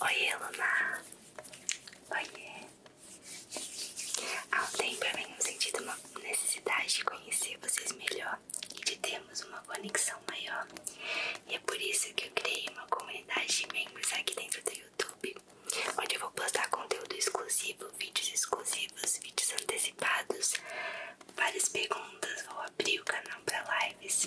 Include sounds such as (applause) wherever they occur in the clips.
Oiê, Luna. Oiê. Há um tempo eu tenho sentido uma necessidade de conhecer vocês melhor e de termos uma conexão maior. E é por isso que eu criei uma comunidade de membros aqui dentro do YouTube, onde eu vou postar conteúdo exclusivo, vídeos exclusivos, vídeos antecipados, várias perguntas, vou abrir o canal para lives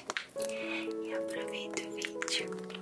relaxe e aproveita o vídeo.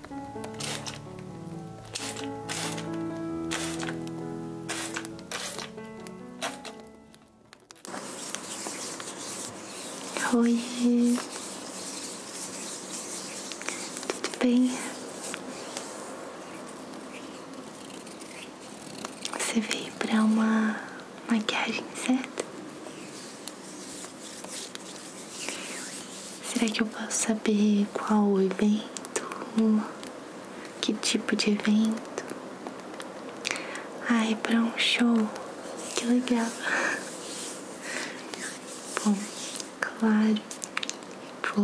Oi, tudo bem? Você veio para uma maquiagem, certo? Será que eu posso saber qual o evento? Que tipo de evento? Ai, é um show. Que legal. Bom, claro. Pro...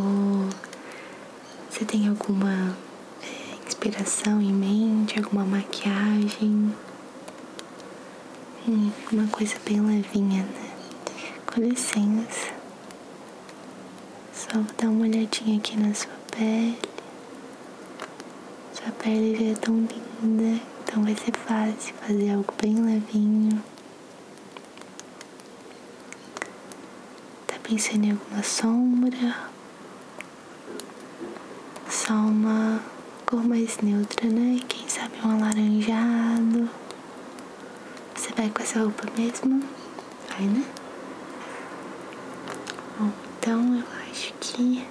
Você tem alguma é, inspiração em mente? Alguma maquiagem? Hum, uma coisa bem levinha, né? Com licença. Só vou dar uma olhadinha aqui na sua pele. Sua pele já é tão linda, então vai ser fácil fazer algo bem levinho. Tá pensando em alguma sombra? Só uma cor mais neutra, né? Quem sabe um alaranjado. Você vai com essa roupa mesmo? Vai, né? Bom, então eu acho que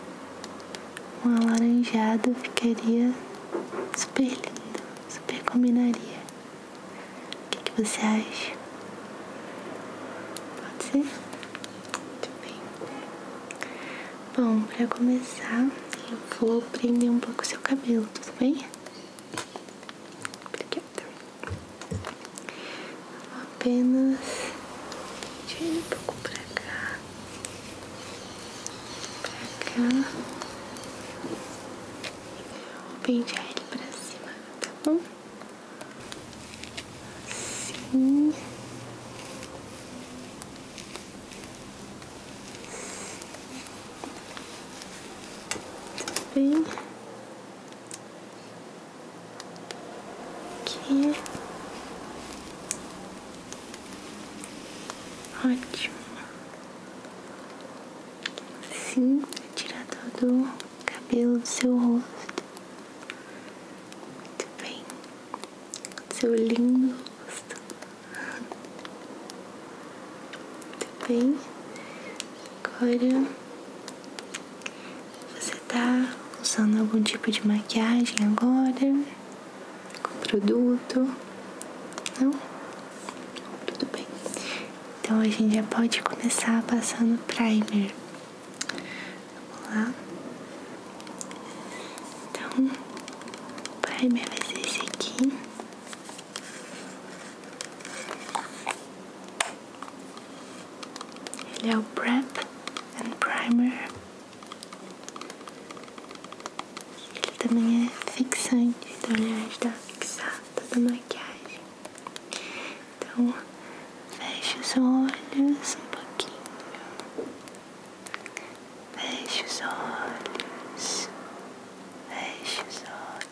um alaranjado ficaria super lindo, super combinaria. O que, você acha? Pode ser? Muito bem. Bom, pra começar, eu vou prender um pouco o seu cabelo, tudo bem? Obrigada. Apenas tira um pouco pra cá. Pra cá. Vou pentear ele pra cima, tá bom? sim Bem... Aqui. Ótimo. Assim, tirar todo cabelo do seu rosto. Muito bem. Seu lindo rosto. Tá bem? Agora você tá usando algum tipo de maquiagem agora? Com produto? Não? Tudo bem. Então a gente já pode começar passando primer. Vamos lá. Então, o primer vai ser esse aqui. Ele é o Prep and Primer. Ele também é fixante, então ele ajuda é a fixar toda a maquiagem. Então, feche os olhos um pouquinho. Feche os olhos. Feche os olhos.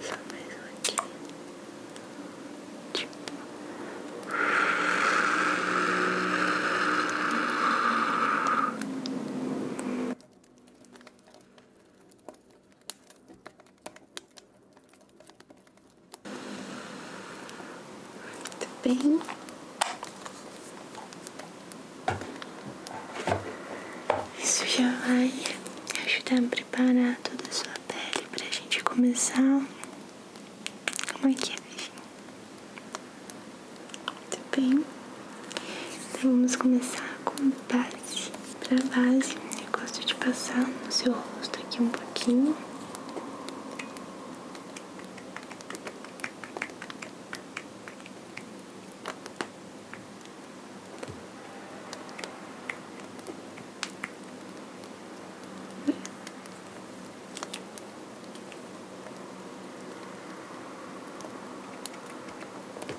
Só mais um aqui. Tipo. Muito bem. Isso já vai ajudar a preparar toda a sua nossa pele pra gente começar. Como é que é, Muito bem. Então, vamos começar com base. Pra base, eu gosto de passar no seu rosto aqui um pouquinho.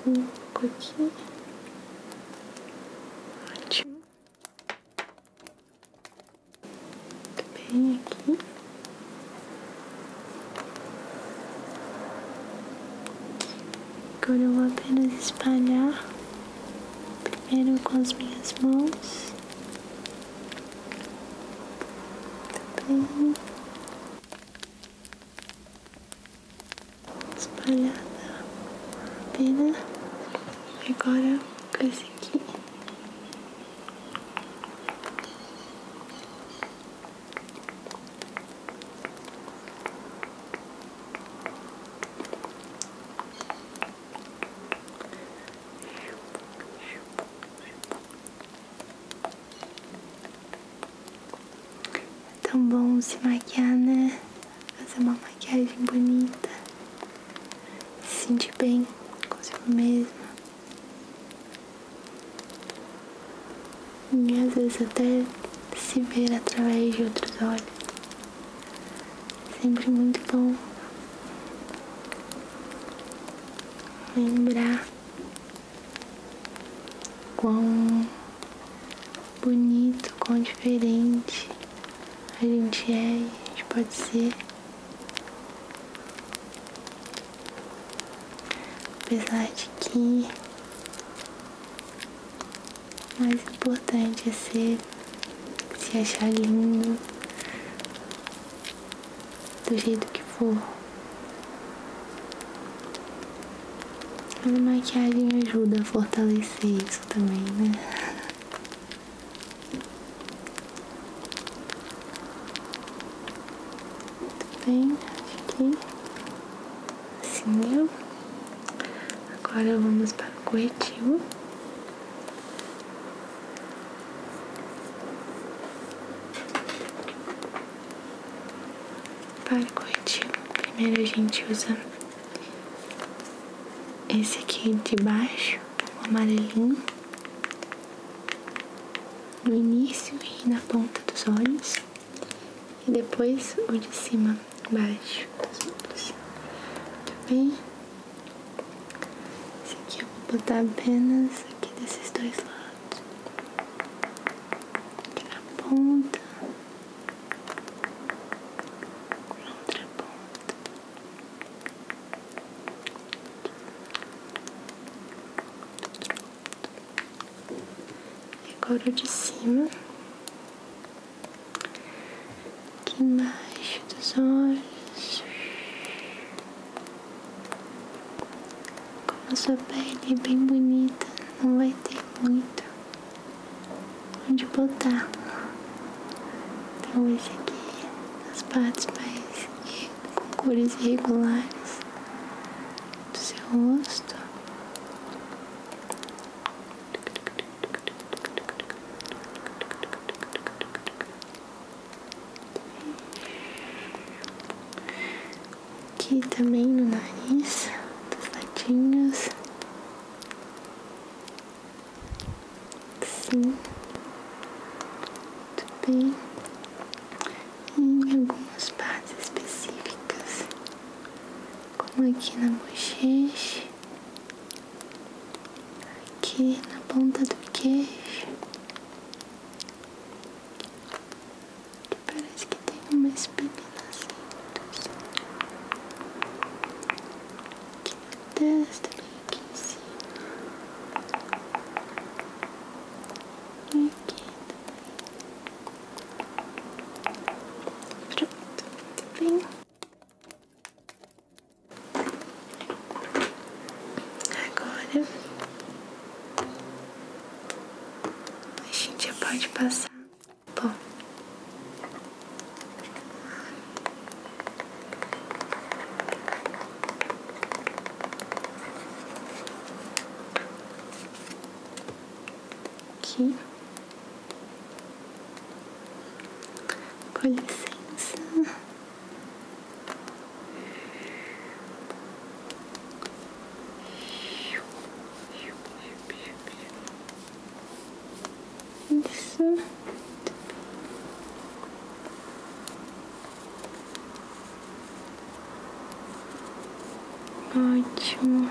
Um aqui. Ótimo. bem aqui. Agora eu vou apenas espalhar primeiro com as minhas mãos, também espalhada a pena, agora com esse aqui. É tão bom se maquiar, né? Fazer uma maquiagem bonita. Se sentir bem consigo mesma. E às vezes até se ver através de outros olhos. Sempre muito bom lembrar quão bonito, quão diferente a gente é a gente pode ser. Apesar de que o mais importante é ser, se achar lindo, do jeito que for. A maquiagem ajuda a fortalecer isso também, né? (laughs) Tudo bem? aqui, que assim deu. Né? Agora vamos para o corretivo. Para o corretivo, primeiro a gente usa esse aqui de baixo, o amarelinho, no início e na ponta dos olhos, e depois o de cima baixo dos outros, bem? Esse aqui eu vou botar apenas aqui desses dois lados, aqui na ponta, na outra ponta. E agora o de cima aqui embaixo dos olhos, como a sua pele é bem bonita, não vai ter muito onde botar. Então esse aqui, as partes mais com cores irregulares do seu rosto. Aqui também no nariz, dos latinhos. Sim, muito bem. Em algumas partes específicas, como aqui na bochecha aqui na ponta do queixo, que parece que tem uma espinha nascendo, aqui na testa, bem aqui em cima, e aqui também. Pronto, muito bem. Agora a gente já pode passar. Bom, aqui. Com licença. Isso. Ótimo.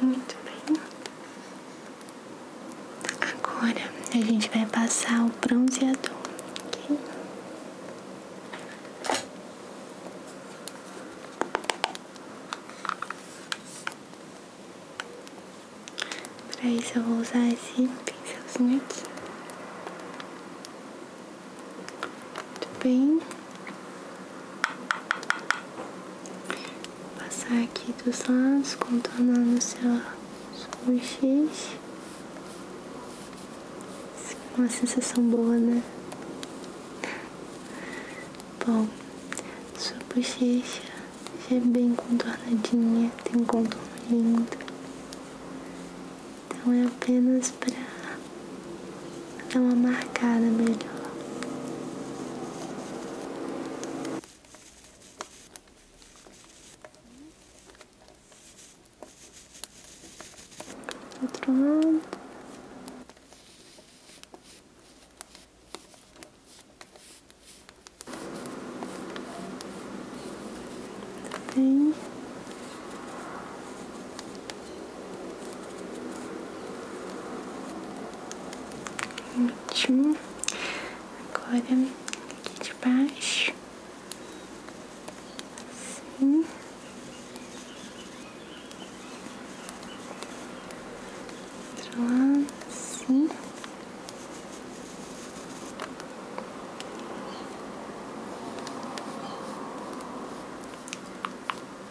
Muito bem. Agora a gente vai passar o bronzeador, ok? Para isso eu vou usar esse pincelzinho aqui. Muito bem. Vou passar aqui dos lados, contornando seu, sua bochecha. Uma sensação boa, né? Bom, sua bochecha já é bem contornadinha, tem um contorno lindo. Então é apenas mas pra dar é uma marcada melhor. Outro lado. Bem. Ótimo. Agora aqui de baixo. sim Outro lado, sim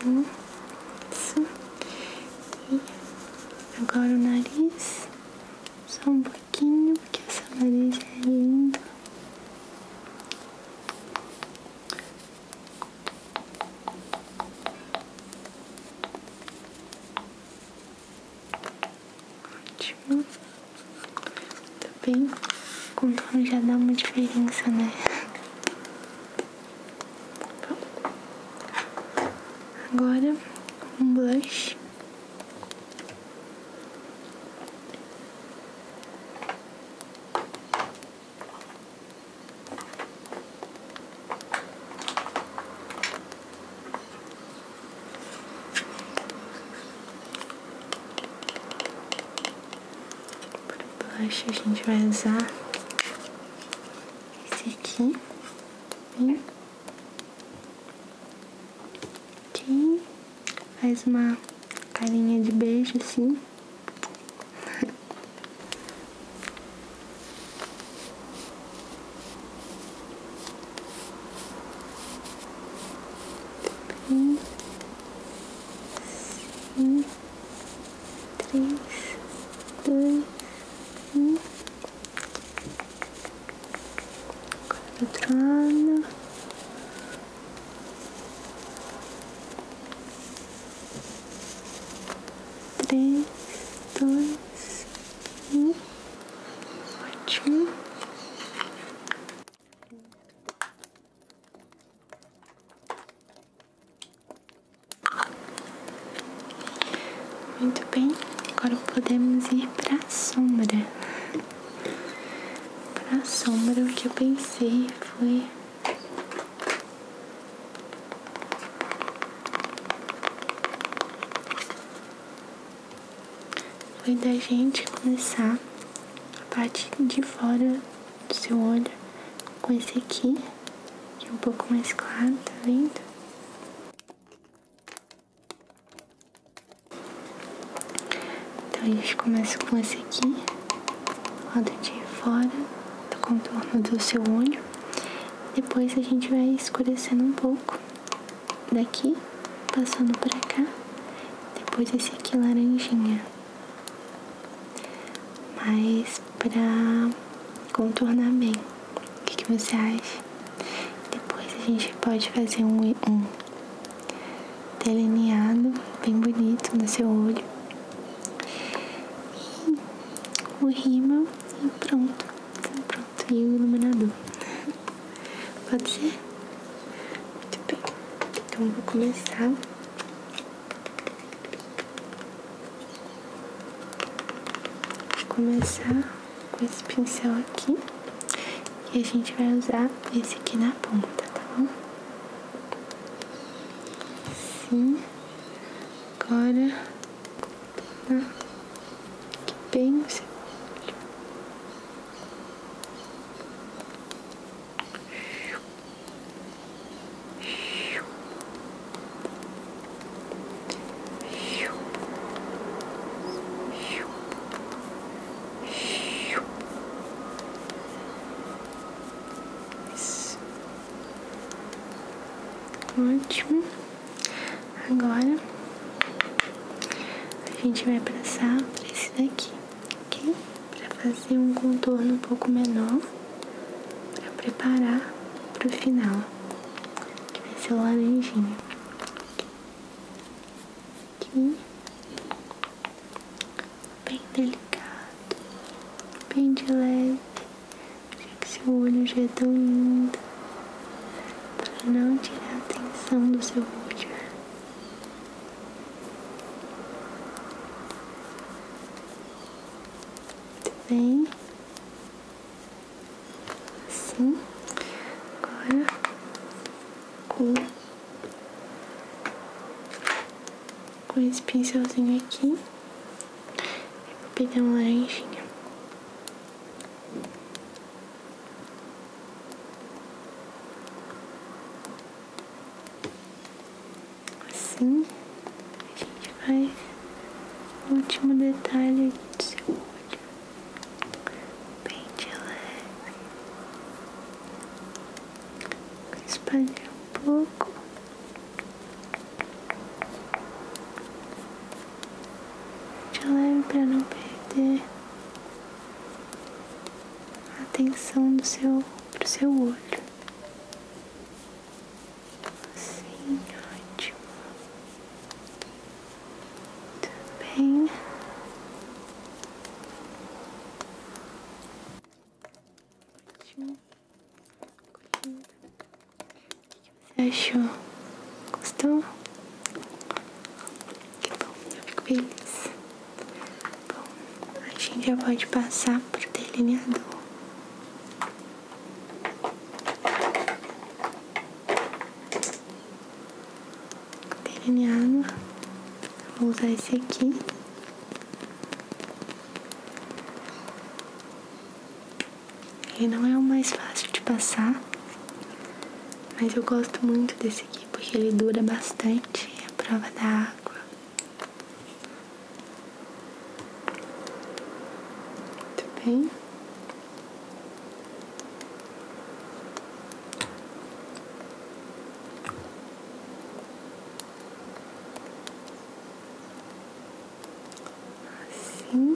Sim, sim. E agora o nariz, só um pouquinho, porque essa nariz é lindo, Ótimo. Tá bem? contorno já dá uma diferença, né? Agora, um blush. para blush a gente vai usar esse aqui. Bem. Aqui. Faz uma carinha de beijo assim. Bem. (laughs) Sim três, dois, um. Do outro Três, dois, um. Ótimo. Muito bem, agora podemos ir para sombra. Para sombra, o que eu pensei foi. Foi da gente começar a parte de fora do seu olho com esse aqui, que é um pouco mais claro, tá vendo? Então a gente começa com esse aqui, lado de fora, do contorno do seu olho. Depois a gente vai escurecendo um pouco daqui, passando pra cá. Depois esse aqui laranjinha mas para contornar bem. O que, que, você acha? Depois a gente pode fazer um, delineado bem bonito no seu olho. E o rímel e pronto. pronto. E o iluminador. Pode ser? Muito bem. Então vou começar Vou começar com esse pincel aqui e a gente vai usar esse aqui na ponta, tá bom? Sim, agora aqui tá bem Ótimo. Agora a gente vai passar por esse daqui, ok? Para fazer um contorno um pouco menor para preparar para o final, que vai ser o laranjinha. Aqui, bem delicado, bem de leve, já que seu olho já é tão lindo, para não tirar a atenção do seu olho bem. Assim. Agora com, com esse pincelzinho aqui. Eu vou uma laranjinha assim, a gente vai no último detalhe do seu olho, bem de leve, espalhar um pouco. De leve para não perder a atenção do seu pro seu olho. Sim, ótimo. Muito bem. Ótimo. Curtindo. O que você achou? Gostou? Que bom, eu fico feliz. Bom, a gente já pode passar por delineador delineado. Vou usar esse aqui. Ele não é o mais fácil de passar, mas eu gosto muito desse aqui porque ele dura bastante, é a prova da água. Muito bem. Assim.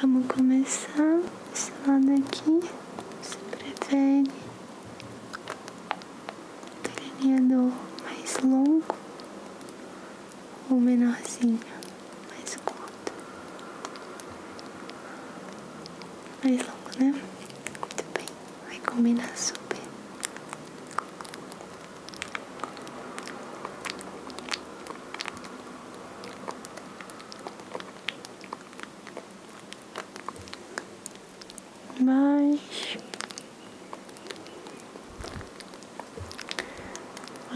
Vamos começar esse lado aqui. Se prefere delineador mais longo ou menorzinho, mais curto. Mais longo, né? Muito bem, vai combinar super. mais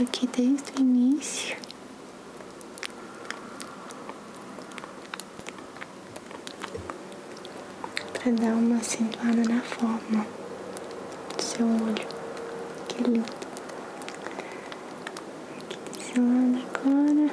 aqui desde o início. Para dar uma acentuada na forma do seu olho. Que lindo. Aqui desse lado agora.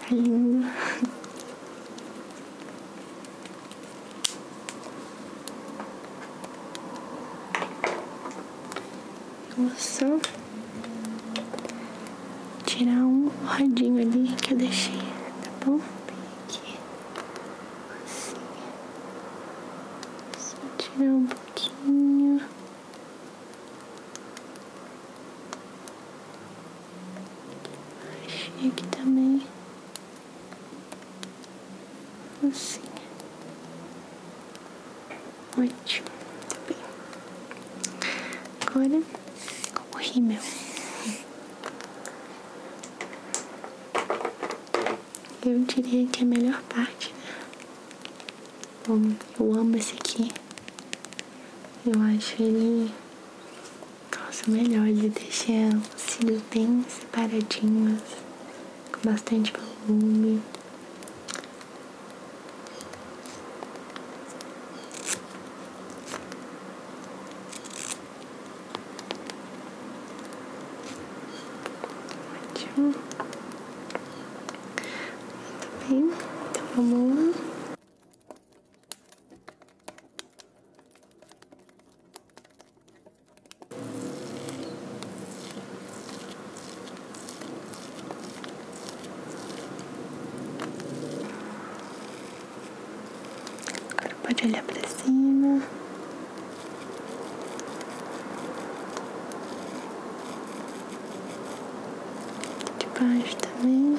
Tá lindo. Vou só tirar um rodinho ali que eu deixei, tá bom? Bem aqui. Assim. Só tirar um pouquinho. E aqui também, assim, ótimo, muito bem. Agora, com o Eu diria que é a melhor parte, né? Bom, eu amo esse aqui. Eu acho ele. Nossa, melhor de deixar os cílios bem separadinhos, com bastante volume. Ótimo. Muito bem, então vamos lá. Agora pode olhar para cima. Tá de baixo também.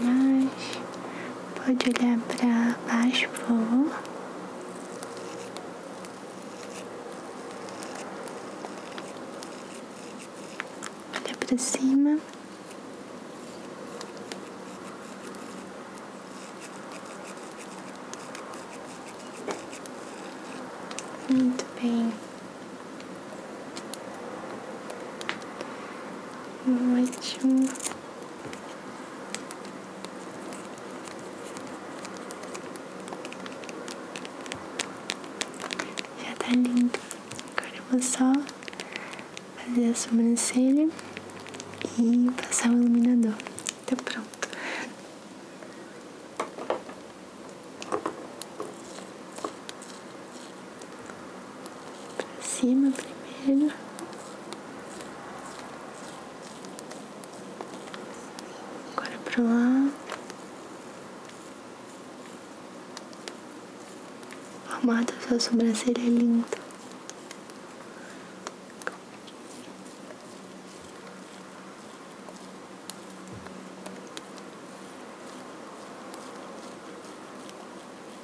mas pode olhar para baixo, por olhar Olha para cima. Muito bem. Ótimo. Já tá lindo. Agora eu vou só fazer a sobrancelha e passar o iluminador. Tá pronto pra cima primeiro. Agora pra lá. Arrumar da sua é lindo.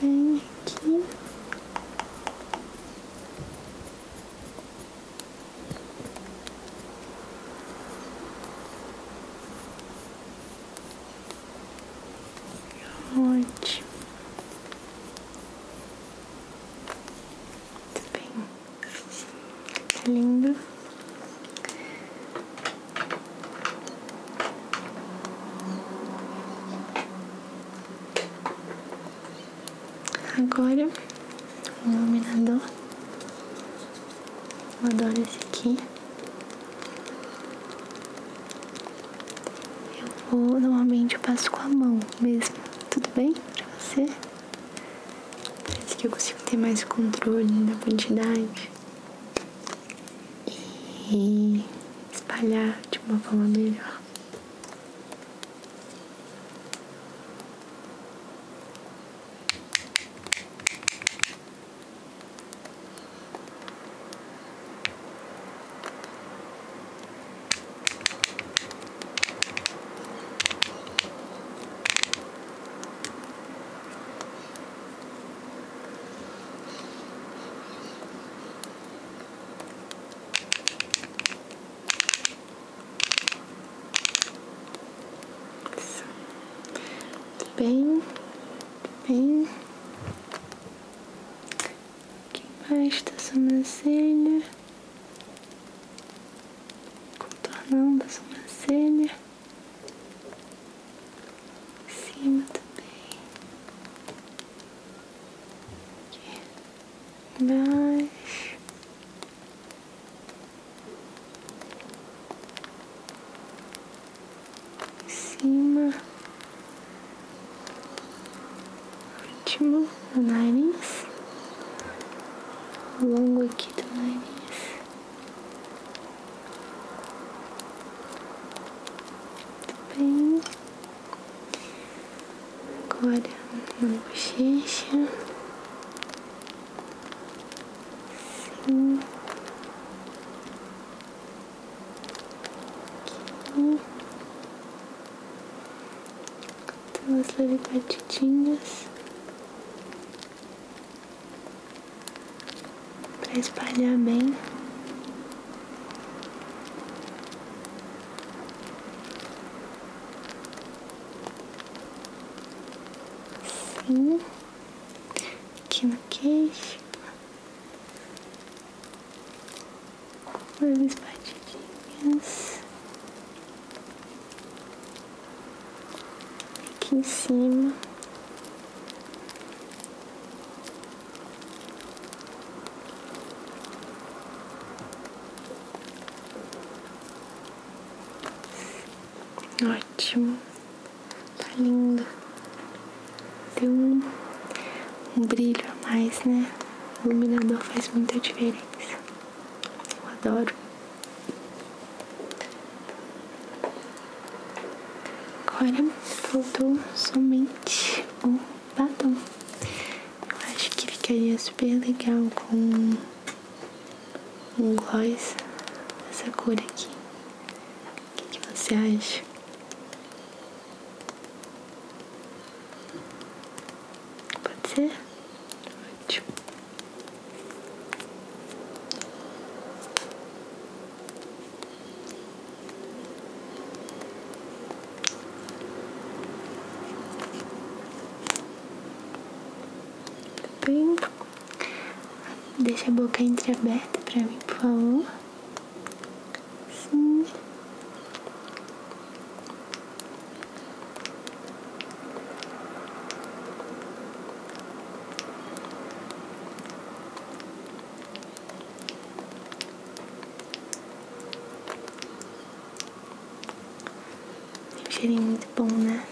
Muito bem aqui. Ótimo. Muito bem. Tá lindo. Agora, um iluminador. Eu adoro esse aqui. Eu vou, normalmente eu passo com a mão mesmo, tudo bem pra você? Parece que eu consigo ter mais controle da quantidade e espalhar de uma forma melhor. Bem, bem aqui mais da sobrancelha, contornando a sobrancelha, em cima também, aqui embaixo. Em cima Último no nariz. Longo aqui do nariz. Muito bem. Agora na bochecha. Sim. Aqui. Duas leve batidinhas. para espalhar bem. Sim, Aqui no queixo umas batidinhas aqui em cima. Ótimo, tá lindo tem um, brilho a mais, né? O iluminador faz muita diferença. Eu adoro. Agora faltou somente o batom. Eu acho que ficaria super legal com um gloss dessa cor aqui. O que, que você acha? Pode ser? Ótimo. Tá deixa a boca entreaberta para mim, por favor. Sim. cheirinho muito bom, né?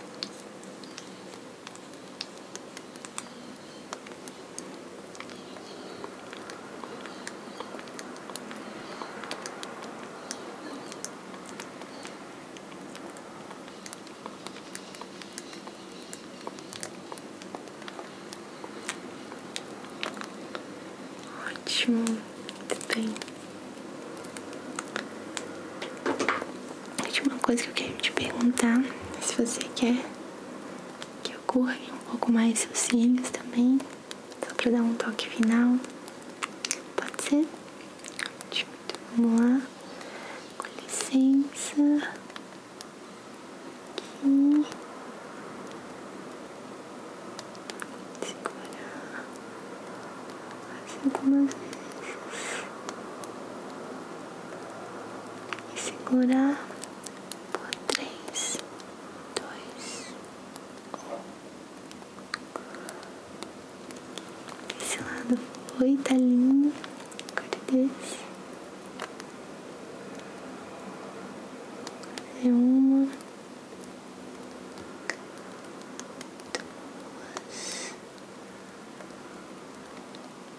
Ótimo, muito bem. última coisa que eu quero te perguntar, se você quer que eu curve um pouco mais seus cílios também. Só pra dar um toque final. Pode ser? Vamos lá. Com licença. Aqui. Segurar. Assim algumas E segurar por três dois, um. Esse lado foi, tá lindo. Corta desse. É uma,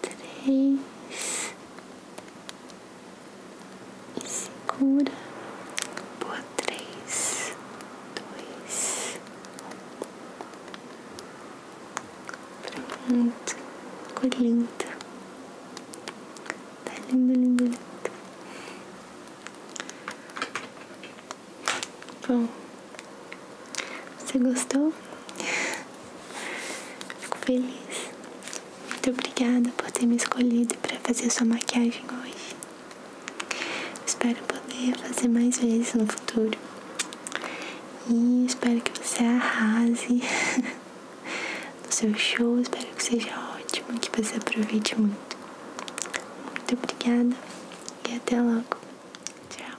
duas, três, segura por três, dois, Pronto, ficou lindo. Tá lindo, lindo, lindo. Bom, você gostou? (laughs) Fico feliz. Muito obrigada por ter me escolhido para fazer sua maquiagem hoje. Espero poder fazer mais vezes no futuro. E espero que você arrase (laughs) no seu show. Espero que seja ótimo, e que você aproveite muito. Muito obrigada e até logo. Tchau.